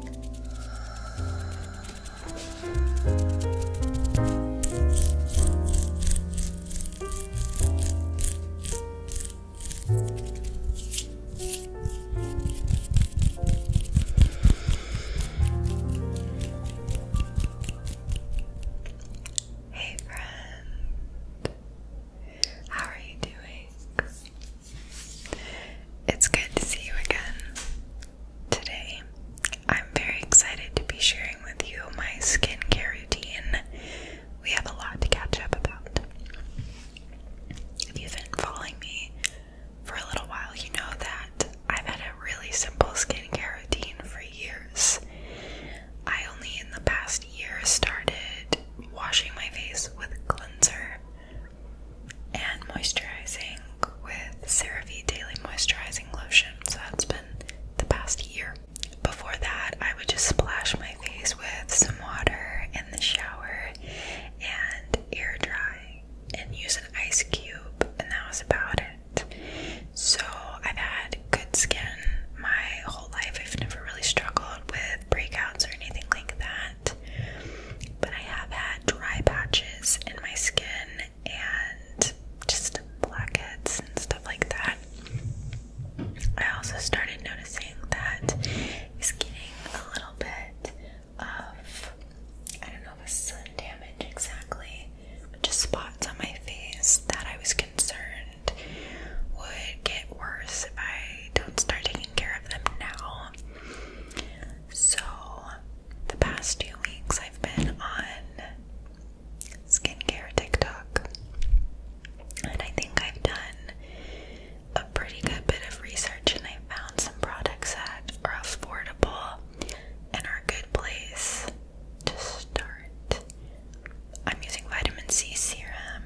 Hey friend, how are you doing? It's good to see you again. Today, I'm very excited to be sharing with you my skincare routine. We have a lot to catch up about. If you've been following me for a little while, you know that I've had a really simple skincare routine for years. I only in the past year started washing my face with cleanser and moisturizing with CeraVe Daily Moisturizing Lotion. So that's been the past year. Before that, I would just splash my face with some water in the shower and air dry and use an ice cube, and that was about it. So I've had good skin my whole life. I've never really struggled with breakouts or anything like that. But I have had dry patches in my skin and just blackheads and stuff like that. I also started noticing that it's getting a little bit of I don't know the sun damage exactly, but just spots on my face that I was concerned would get worse if I don't start taking care of them now. So, the past two weeks I've been on skincare TikTok, and I think I've done a pretty good bit of research and I found some products that are affordable and are a good place to start. I'm using vitamin C serum.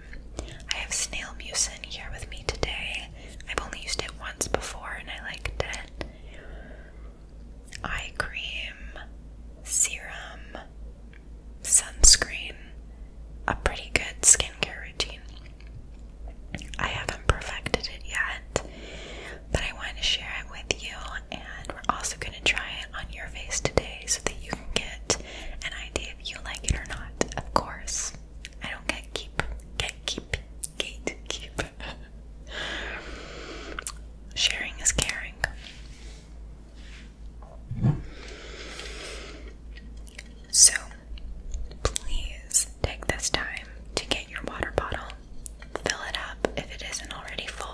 I have snail mucin here with me today. I've only used it once before and I liked it. Eye cream, serum, sunscreen, a pretty good skincare routine. I haven't perfected it yet, but I want to share it with you, and we're also going to try it on your face today so that you can get an idea if you like it or not. Of course, I don't get keep get keep gatekeeper. Sharing is caring. So, please take this time to get your water bottle, fill it up if it isn't already full,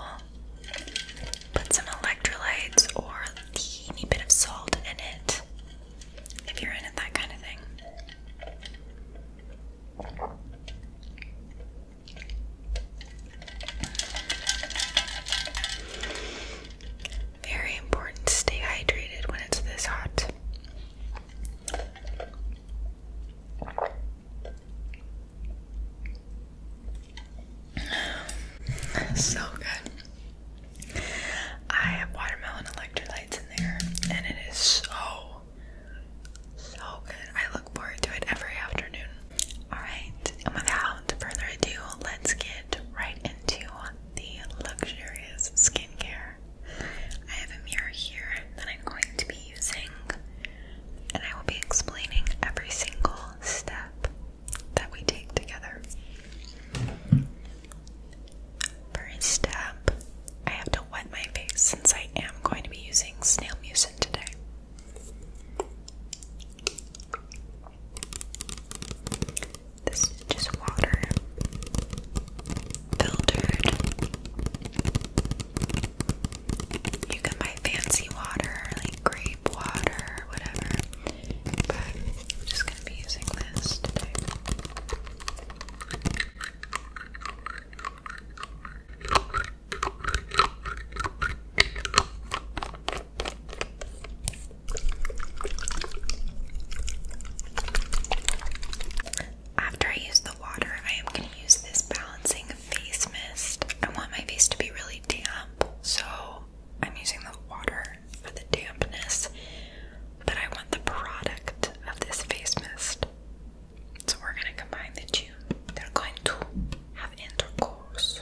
put some electrolytes or a teeny bit of salt in it if you're in that kind of thing. Very important to stay hydrated when it's this hot. So good. I have watermelon electrolytes in there, and it is so so good. I look forward to it every afternoon. Alright, and without further ado, let's get right into the luxurious skincare. I have a mirror here that I'm going to be using, and I will be explaining every single step that we take together. First step, I have to wet my face since I am going to be using snail mucin today. This is just water filtered. You can buy fancy water, like grape water, whatever. But I'm just gonna be using this today. After I use the water, I am going to use this balancing face mist. I want my face to be really damp, so I'm using the water for the dampness, but I want the product of this face mist so we're gonna combine the two. They're going to have intercourse.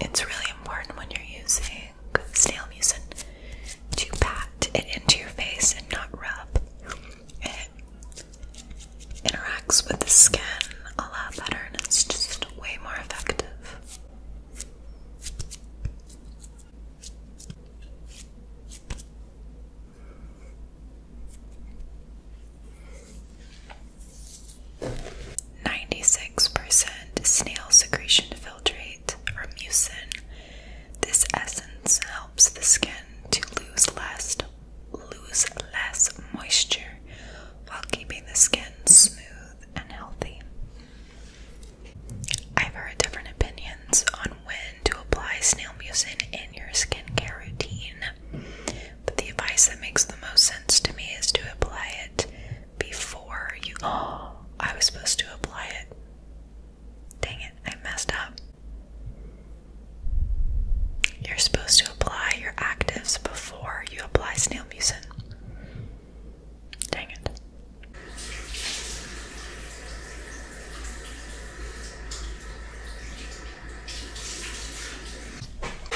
It's really important when you're using snail mucin to pat it into your face and not rub it interacts with the skin a lot better and it's just way more effective. Ninety-six percent snail secretion filtrate or This essence helps the skin to lose less lose less moisture while keeping the skin smooth and healthy. I've heard different opinions on when to apply snail mucin in your skincare routine, but the advice that makes the most sense to me is to apply it before you. Oh, I was supposed to apply it. Dang it, I messed up. You're supposed to apply your actives before you apply snailmucin. Dang it.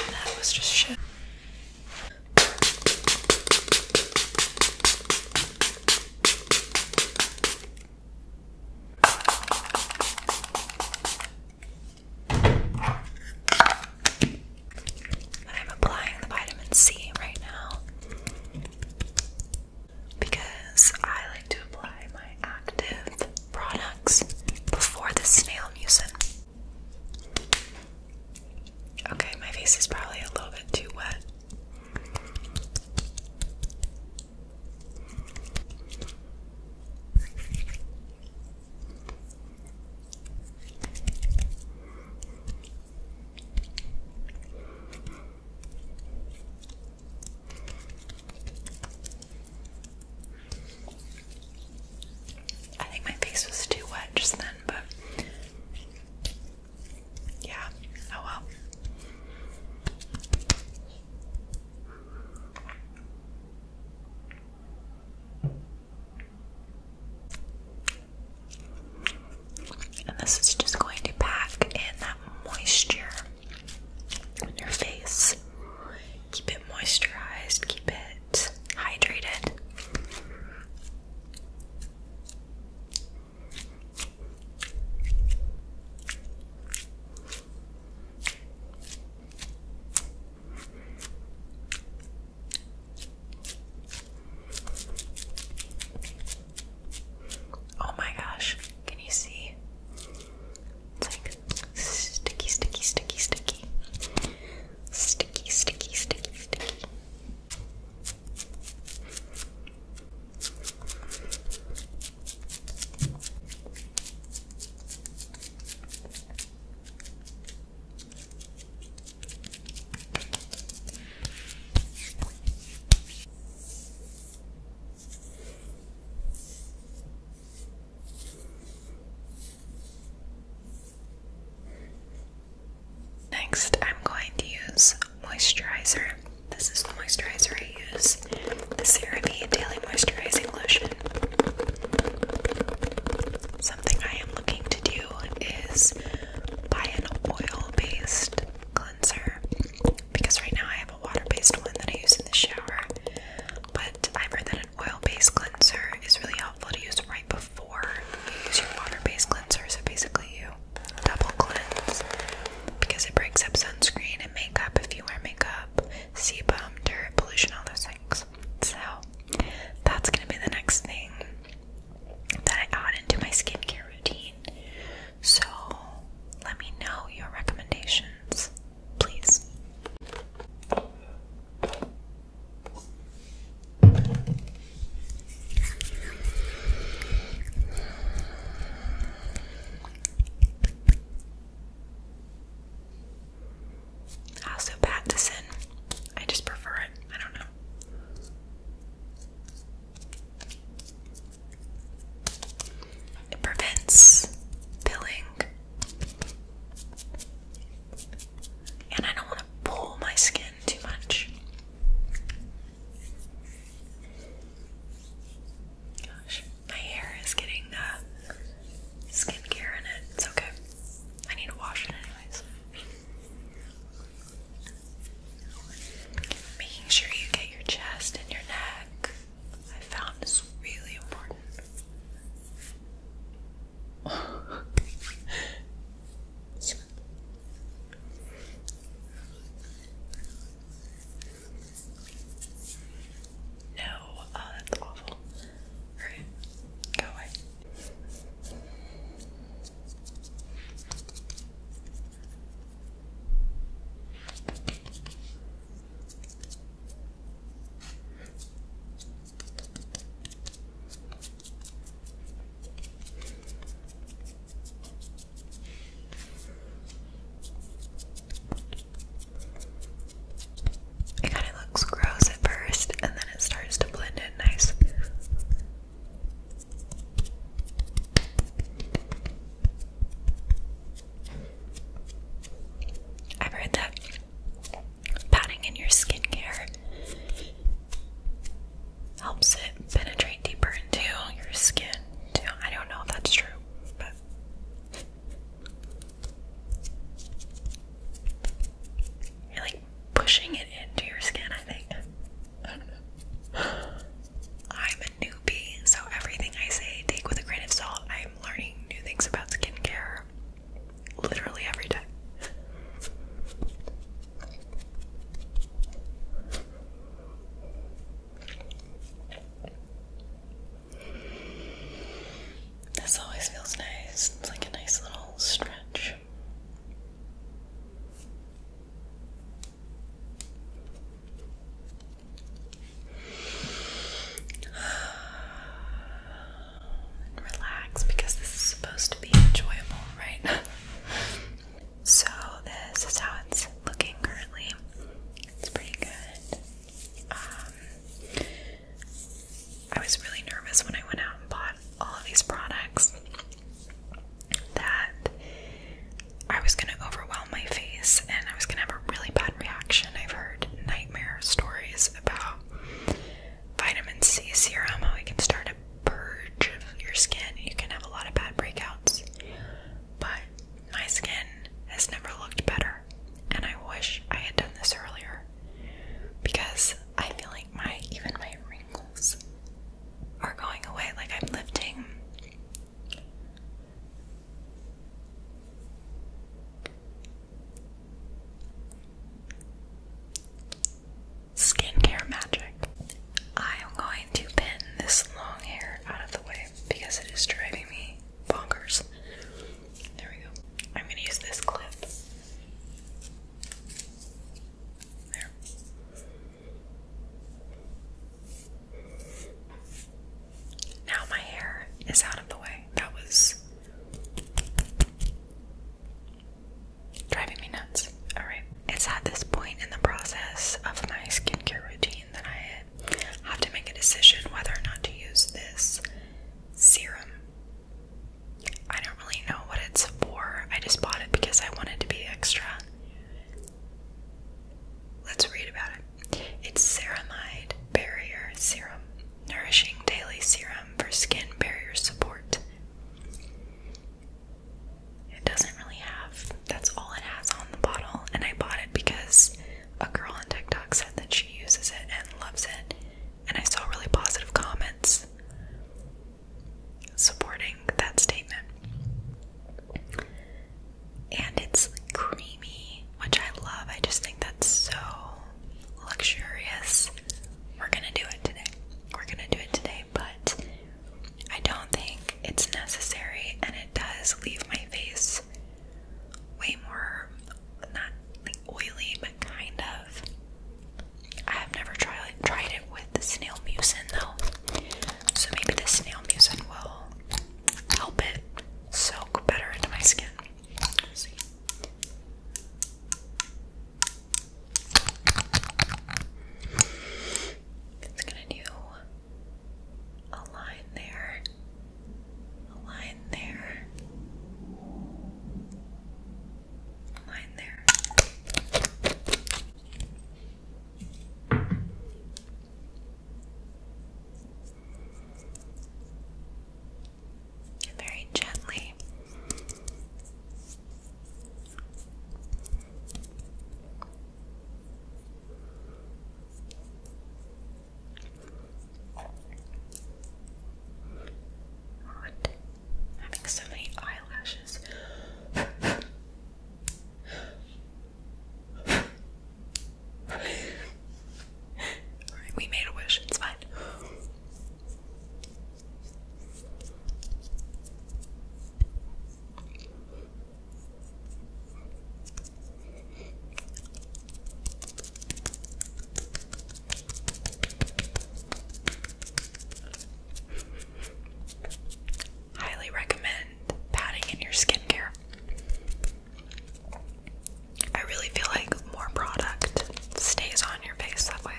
That was just shit. I'm applying the vitamin C right now because I like to apply my active products before the snail mucin. Okay, my face is probably a little bit too wet. I think my face was too wet just then, but yeah, oh well. And this is just going to pack in that moisture in your face. Keep it moisturized, keep it hydrated. Oh my gosh, can you see? It's like sticky, sticky, sticky, sticky. Sticky, sticky, sticky, sticky. Next, I'm going to use moisturizer. This is the moisturizer I use the CeraVe Daily Moisturizing Lotion. Something I am looking to do is buy an oil based cleanser because right now I have a water based one that I use in the shower. But I've heard that an oil based cleanser is really helpful to use right before you use your water based cleanser. So basically, you double cleanse because it breaks up sunscreen and makeup if you wear makeup, sebum, dirt, pollution, all those things. So that's gonna be the next thing that I add into my skincare routine. So let me know your recommendations, please. I Also pat this in. I just prefer it. I don't know. It prevents pilling. And I don't want to pull my skin too much. Gosh, my hair is getting uh, skincare in it. It's okay. I need to wash it anyways. Making sure you get your chest and your neck. I found this really important. no, uh, that's awful. Alright, go away. It kind of looks gross at first, and then it starts to blend in nice. I've heard that patting in your skincare helps it penetrate deeper into your skin, I don't know if that's true, but. You're like pushing it into your skin, I think. I am a newbie, so everything I say, take with a grain of salt. I'm learning new things about skincare literally every day. This always feels nice. It's like a nice little stretch. relax because this is supposed to be enjoyable, right? so, this is how it's looking currently. It's pretty good. Um, I was really nervous when I went out and bought all of these products that I was going to overwhelm my face and I was going to have a really bad reaction. I've heard nightmare stories about vitamin C serum, how it can start a purge of your skin. You can have a lot of bad breakouts. But my skin has never looked better, and I wish I had done this earlier because I feel like my even my wrinkles are going away. Like I'm lifting. Skincare magic. I am going to pin this long hair out of the way because it is driving me bonkers. There we go. I'm going to use this clip. There. Now my hair is out of the way. That was driving me nuts. Alright. It's at this point in the process of my skincare routine that I have to make a decision whether or not to use this serum I don't really know what it's for. I just bought it because I wanted to be extra. Let's read about it. It's ceramide barrier serum, nourishing daily serum for skin barrier support. It doesn't really have, that's all it has on the bottle, and I bought it because a girl on TikTok said that she uses it and loves it, and I saw really positive comments supporting that statement. And it's creamy, which I love. I just think that's so luxurious. We're gonna do it today. We're gonna do it today, but I don't think it's necessary, and it does leave my face way more not oily, but kind of. I have never tried tried it with the snail mucin though, so maybe the snail mucin will help it soak better into my skin. It's gonna do a line there, a line there, line there. Very gently having so many eyelashes. Alright, we made a wish, it's fine. Highly recommend patting in your skincare. I really feel like more product stays on your face that way.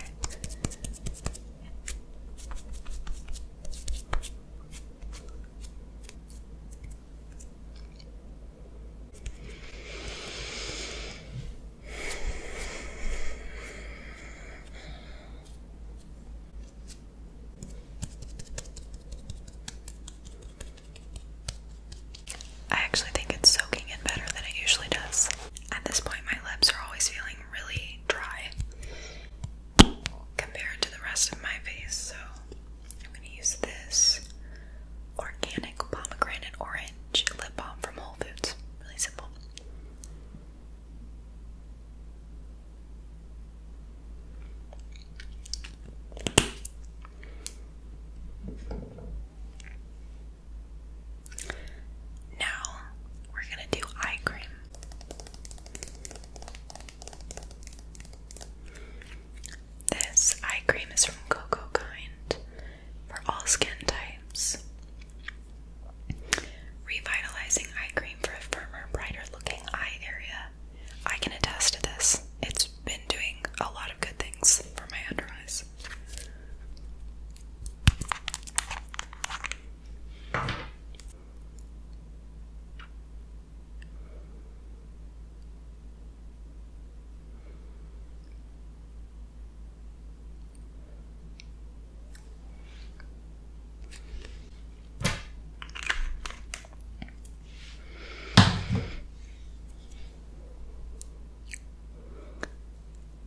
I actually think it's soaking in better than it usually does. At this point, my lips are always feeling really dry compared to the rest of my face, so I'm going to use this organic pomegranate orange lip balm from Whole Foods. Really simple. Now we're going to do eye cream. This eye cream is from Coco Kind for all skin types. Revitalizing eye cream for a firmer, brighter looking eye area. I can attest to this. It's been doing a lot of good things for my under eyes.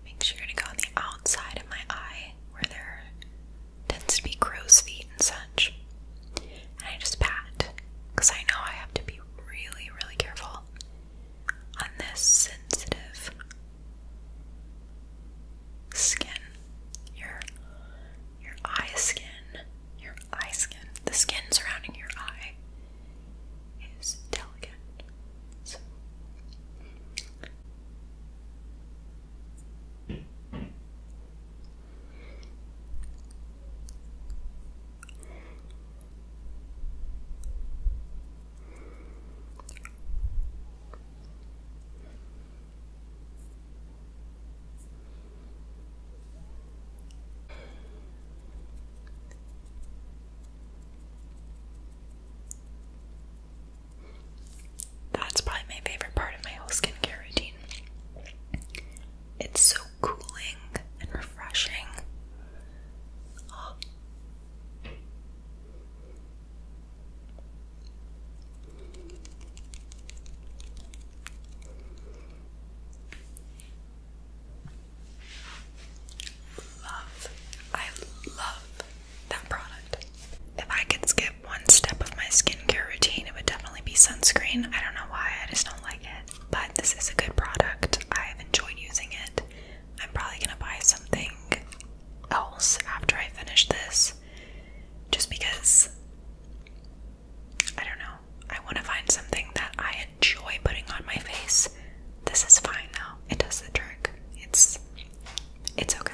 Make sure to go on the outside of my eye where there tends to be gross feet and such. And I just pat because I know I have to be really, really careful on this sensitive skin. Your your eye skin, your eye skin, the skin surrounding your eye is delicate. That's probably my favorite part of my whole skincare routine. It's so cooling and refreshing. Oh, Love, I love that product. If I could skip one step of my skincare routine, it would definitely be sunscreen. I don't know why, I just don't like it. But this is a good product. I've enjoyed using it. I'm probably gonna buy something else after I finish this just because I don't know. I want to find something that I enjoy putting on my face. This is fine now. It does the trick. It's it's okay.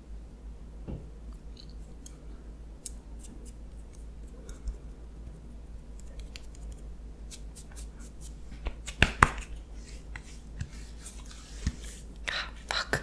Ah, fuck.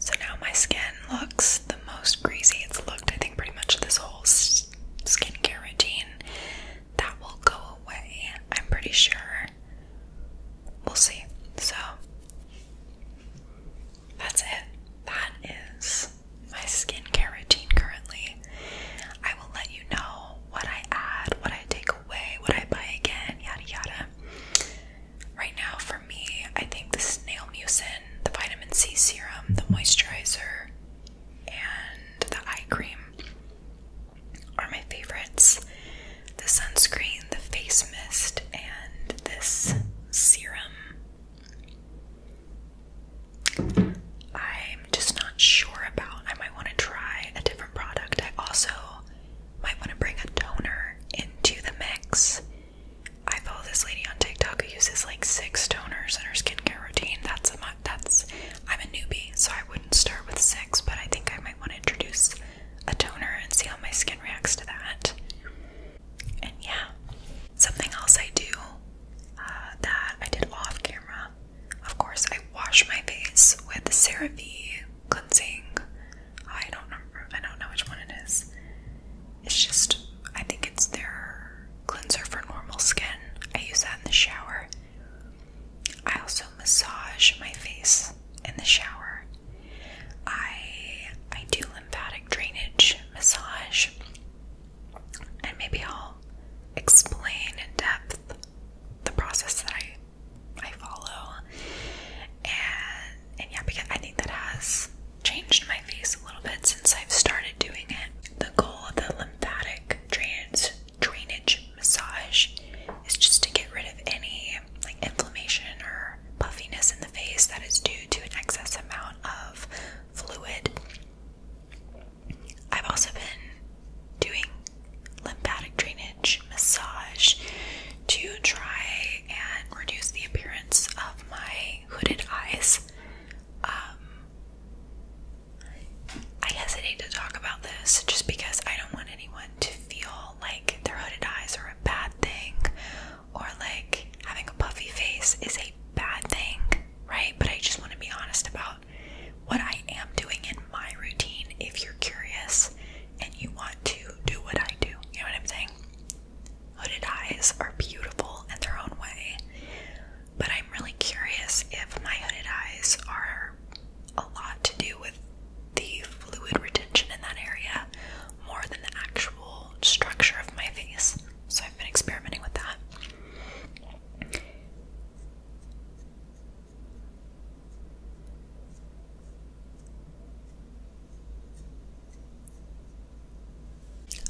So now my skin looks the most greasy it's looked, I think, pretty much this whole skincare routine. That will go away, I'm pretty sure. We'll see. So, that's it. That is my skincare routine currently. I will let you know what I add, what I take way, would I buy again, yada yada. Right now, for me, I think the snail mucin, the vitamin C serum, the moisturizer, and the eye cream are my favorites. The sunscreen, the face mist, and this serum. I'm just not sure about. I might want to try a different product. I also might want to bring a toner into the mix. I follow this lady on TikTok who uses like six toners in her skincare routine. That's a that's I'm a newbie, so I wouldn't start with six, but I think I might want to introduce a toner and see how my skin reacts to that. And yeah, something else I do uh, that I did off camera of course, I wash my face with the CeraVe cleansing. I don't remember. I don't know which one it is. It's just I think it's their cleanser for normal skin. I use that in the shower. I also massage my face in the shower. I I do lymphatic drainage massage. And maybe I'll explain in depth the process that I I follow. And and yeah, because I think that has changed my face a little bit since I've started doing it. The goal of the lymphatic drains drainage massage is just to get rid of any like inflammation or puffiness in the face that is due to an excess amount of fluid. I've also been doing lymphatic drainage massage to try and reduce the appearance of my hooded eyes. Um, I hesitate to talk about this just because I don't want anyone to feel like their hooded eyes are a bad thing or like having a puffy face is a bad thing, right? But I just want to be honest about what I am doing in my routine if you're curious and you want to do what I do. You know what I'm saying? Hooded eyes are beautiful in their own way, but I'm really curious if my hooded eyes are a lot to do with the fluid retention in that area more than the actual structure of my face. So I've been experimenting with that.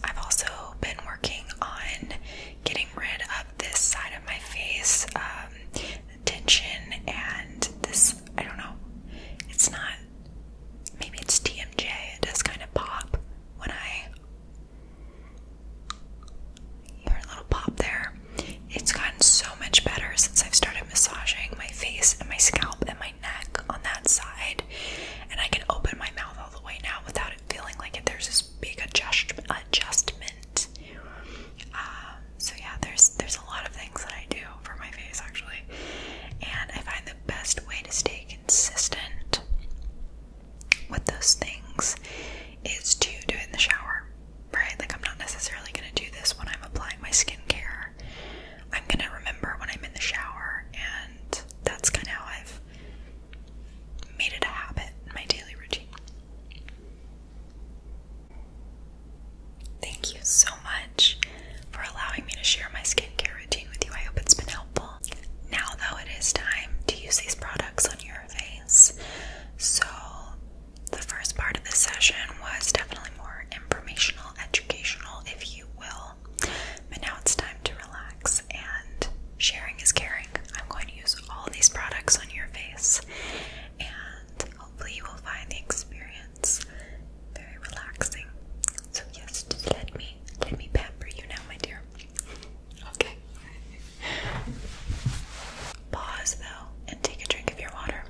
I've also been working on getting rid of this side of my face, um, tension, and this. I don't know. It's not. Maybe it's TMJ. It does kind of pop when I hear little pop there. It's gotten so much better since I've started massaging my face and my scalp and my neck on that side. And I can open my mouth all the way now without it feeling like there's this big adjust adjustment. Um, so yeah, there's there's a lot of things that I do for my face actually. And I find the best way to stay consistent with those things is to do it in the shower right? Like, I'm not necessarily gonna do this when I'm applying my skincare. I'm gonna remember when I'm in the shower, and that's kind of how I've made it a habit in my daily routine. Thank you so much for allowing me to share my skincare routine with you. I hope it's been helpful. Now, though, it is time to use these products on your face. So, the first part of this session was definitely more informational, educational, if you will. But now it's time to relax and sharing is caring. I'm going to use all these products on your face and hopefully you will find the experience very relaxing. So yes, just let me let me pamper you now, my dear. Okay. Pause though and take a drink of your water.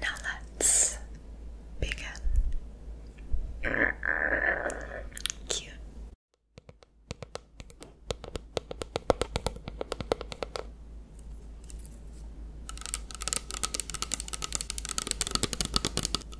Now let's begin. Cute.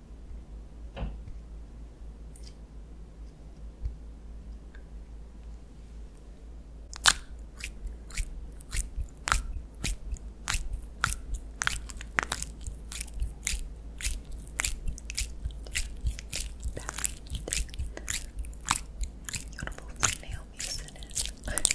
Beautiful nail music in it.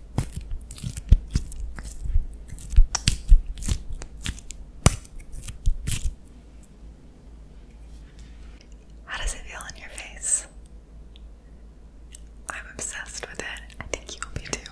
How does it feel on your face? I'm obsessed with it. I think you will be too.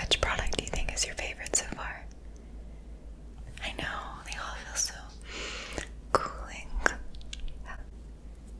Which product do you think is your favorite so far? I know, they all feel so cooling.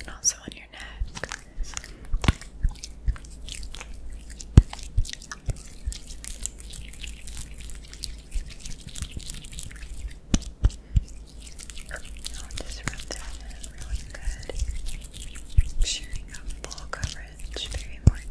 And also on your neck. I'll just rub that in is really good. Sharing up full coverage, very important.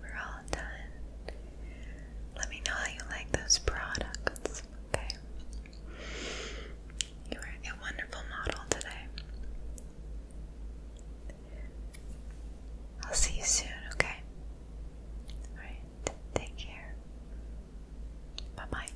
We're all done. Let me know how you like those products, okay? You are a wonderful model today. I'll see you soon, okay? Alright, take care. Bye bye.